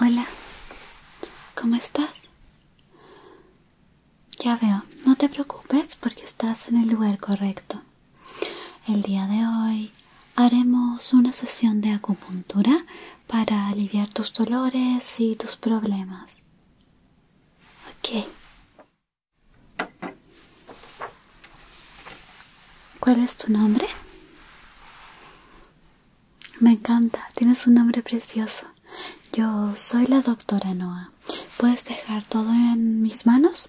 Hola, ¿cómo estás? Ya veo, no te preocupes porque estás en el lugar correcto. El día de hoy haremos una sesión de acupuntura para aliviar tus dolores y tus problemas. Ok. ¿Cuál es tu nombre? Me encanta, tienes un nombre precioso. Yo soy la doctora Noah. ¿Puedes dejar todo en mis manos?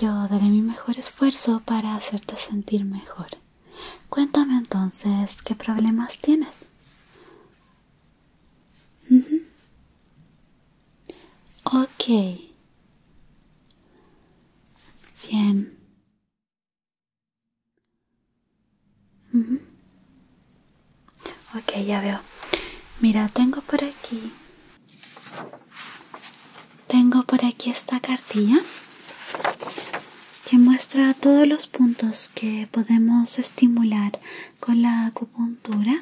Yo daré mi mejor esfuerzo para hacerte sentir mejor. Cuéntame entonces qué problemas tienes. Ok. Bien. Ok, ya veo. Mira, tengo por aquí. Tengo por aquí esta cartilla que muestra todos los puntos que podemos estimular con la acupuntura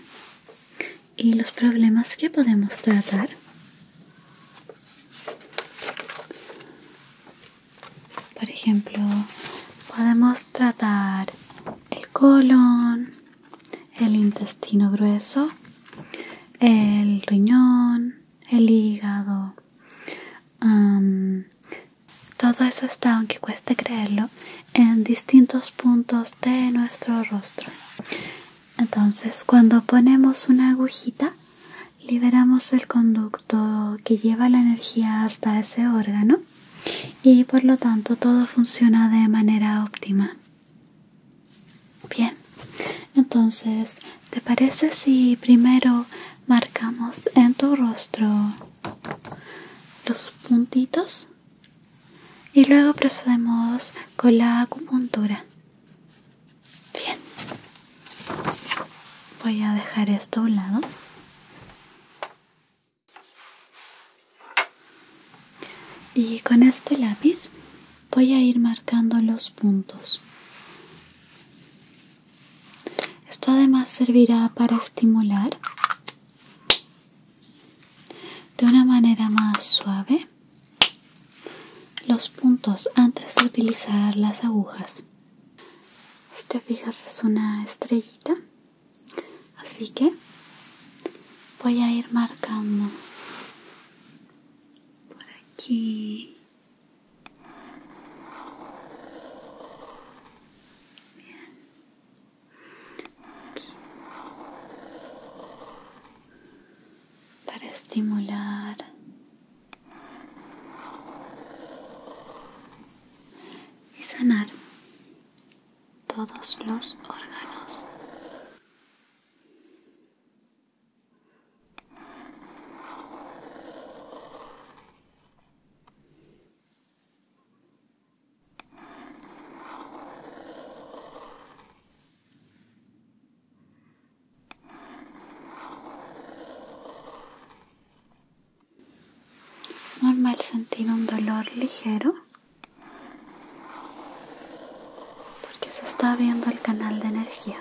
y los problemas que podemos tratar. Por ejemplo, podemos tratar el colon, el intestino grueso, el riñón, el hígado, todo eso está, aunque cueste creerlo, en distintos puntos de nuestro rostro. Entonces, cuando ponemos una agujita, liberamos el conducto que lleva la energía hasta ese órgano y por lo tanto todo funciona de manera óptima. Bien, entonces ¿Te parece si primero marcamos en tu rostro los puntitos? Y luego procedemos con la acupuntura. Bien. Voy a dejar esto a un lado. Y con este lápiz voy a ir marcando los puntos. Esto además servirá para estimular de una manera más suave los puntos antes de utilizar las agujas. Si te fijas es una estrellita, así que voy a ir marcando por aquí para estimular y sanar todos los órganos. Es normal sentir un dolor ligero porque se está abriendo el canal de energía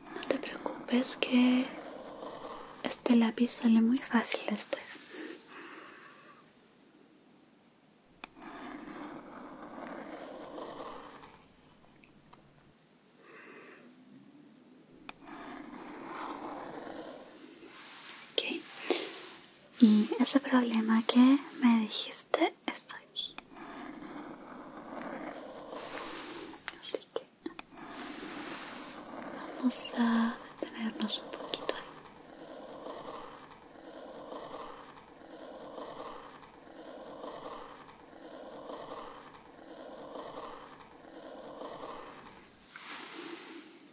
No te preocupes que este lápiz sale muy fácil después. Okay. Y ese problema que me dijiste está aquí. Así que vamos a detenernos un poquito ahí.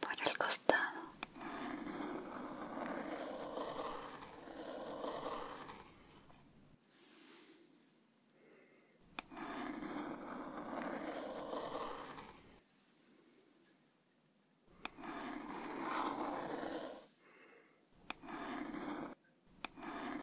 por el costado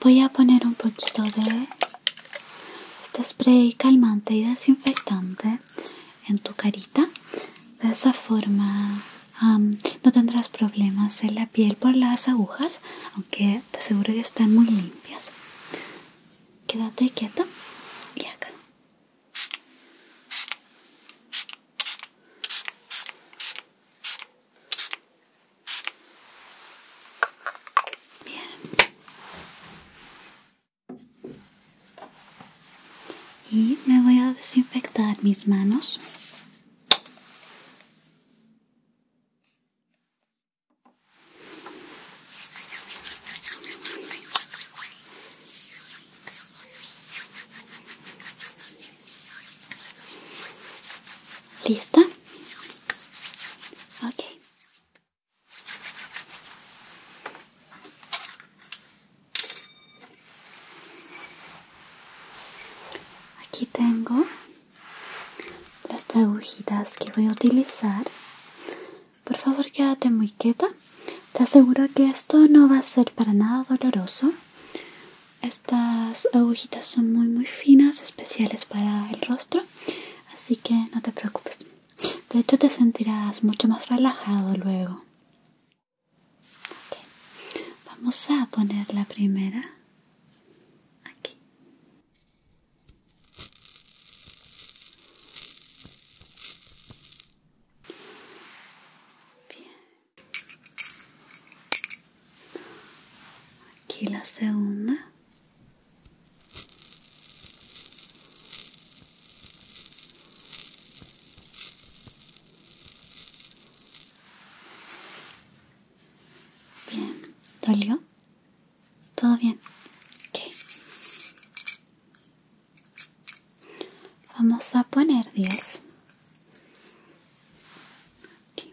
voy a poner un poquito de este spray calmante y desinfectante en tu carita. De esa forma no tendrás problemas en la piel por las agujas, aunque te aseguro que están muy limpias. Quédate quieta y acá. Bien. Y me voy a desinfectar mis manos. ¿Lista? Ok. Aquí tengo las agujitas que voy a utilizar. Por favor, quédate muy quieta. Te aseguro que esto no va a ser para nada doloroso. Estas agujitas son muy muy finas, especiales para el rostro, así que no te preocupes. De hecho te sentirás mucho más relajado luego. Vamos a poner la primera aquí. Aquí la segunda. Bien, ¿dolió? ¿Todo bien? ¿Qué? vamos a poner 10 Aquí.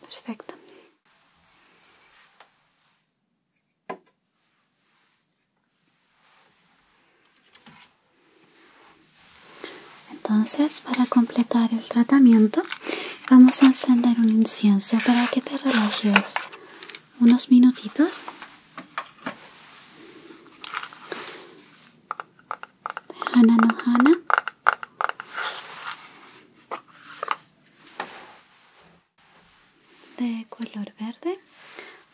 Perfecto. Entonces, para completar el tratamiento, vamos a encender un incienso para que te relajes unos minutitos. Hana no hana de color verde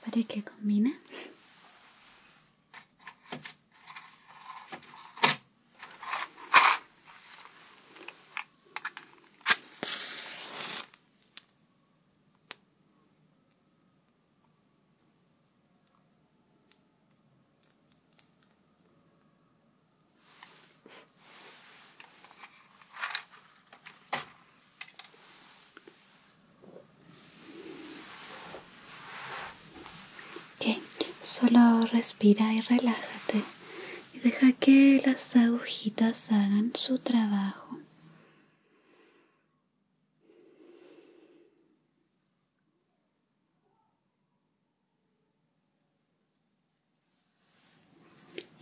para que combine Okay. Solo respira y relájate y deja que las agujitas hagan su trabajo.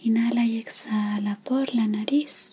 Inhala y exhala por la nariz.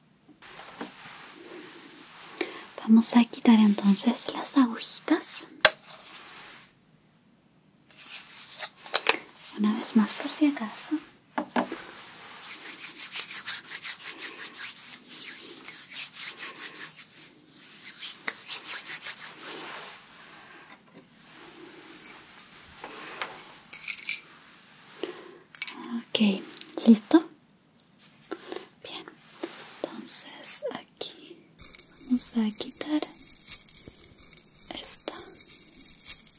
Vamos a quitar entonces las agujitas. Una vez más por si acaso. Ok, listo. Bien, entonces aquí vamos a quitar esta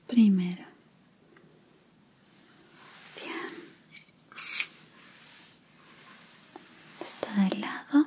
primera. Bien, está de lado.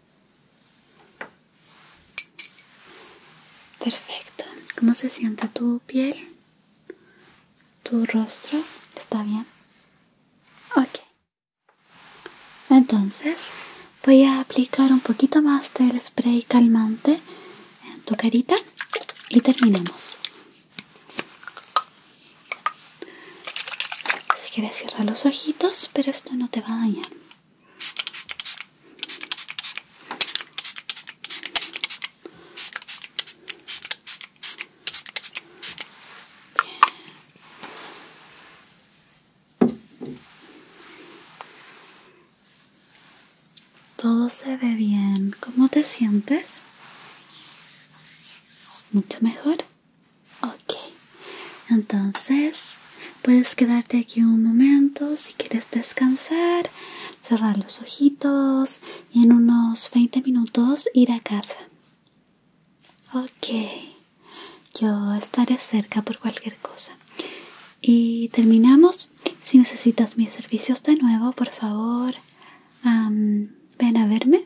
Perfecto. ¿Cómo se siente tu piel? ¿Tu rostro? ¿Está bien? Ok. Entonces voy a aplicar un poquito más del spray calmante en tu carita y terminamos. Si quieres cierra los ojitos, pero esto no te va a dañar. Todo se ve bien. ¿Cómo te sientes? Mucho mejor. Ok, entonces puedes quedarte aquí un momento si quieres descansar, cerrar los ojitos y en unos 20 minutos ir a casa. Ok, yo estaré cerca por cualquier cosa. Y terminamos. Si necesitas mis servicios de nuevo, por favor, ven a verme.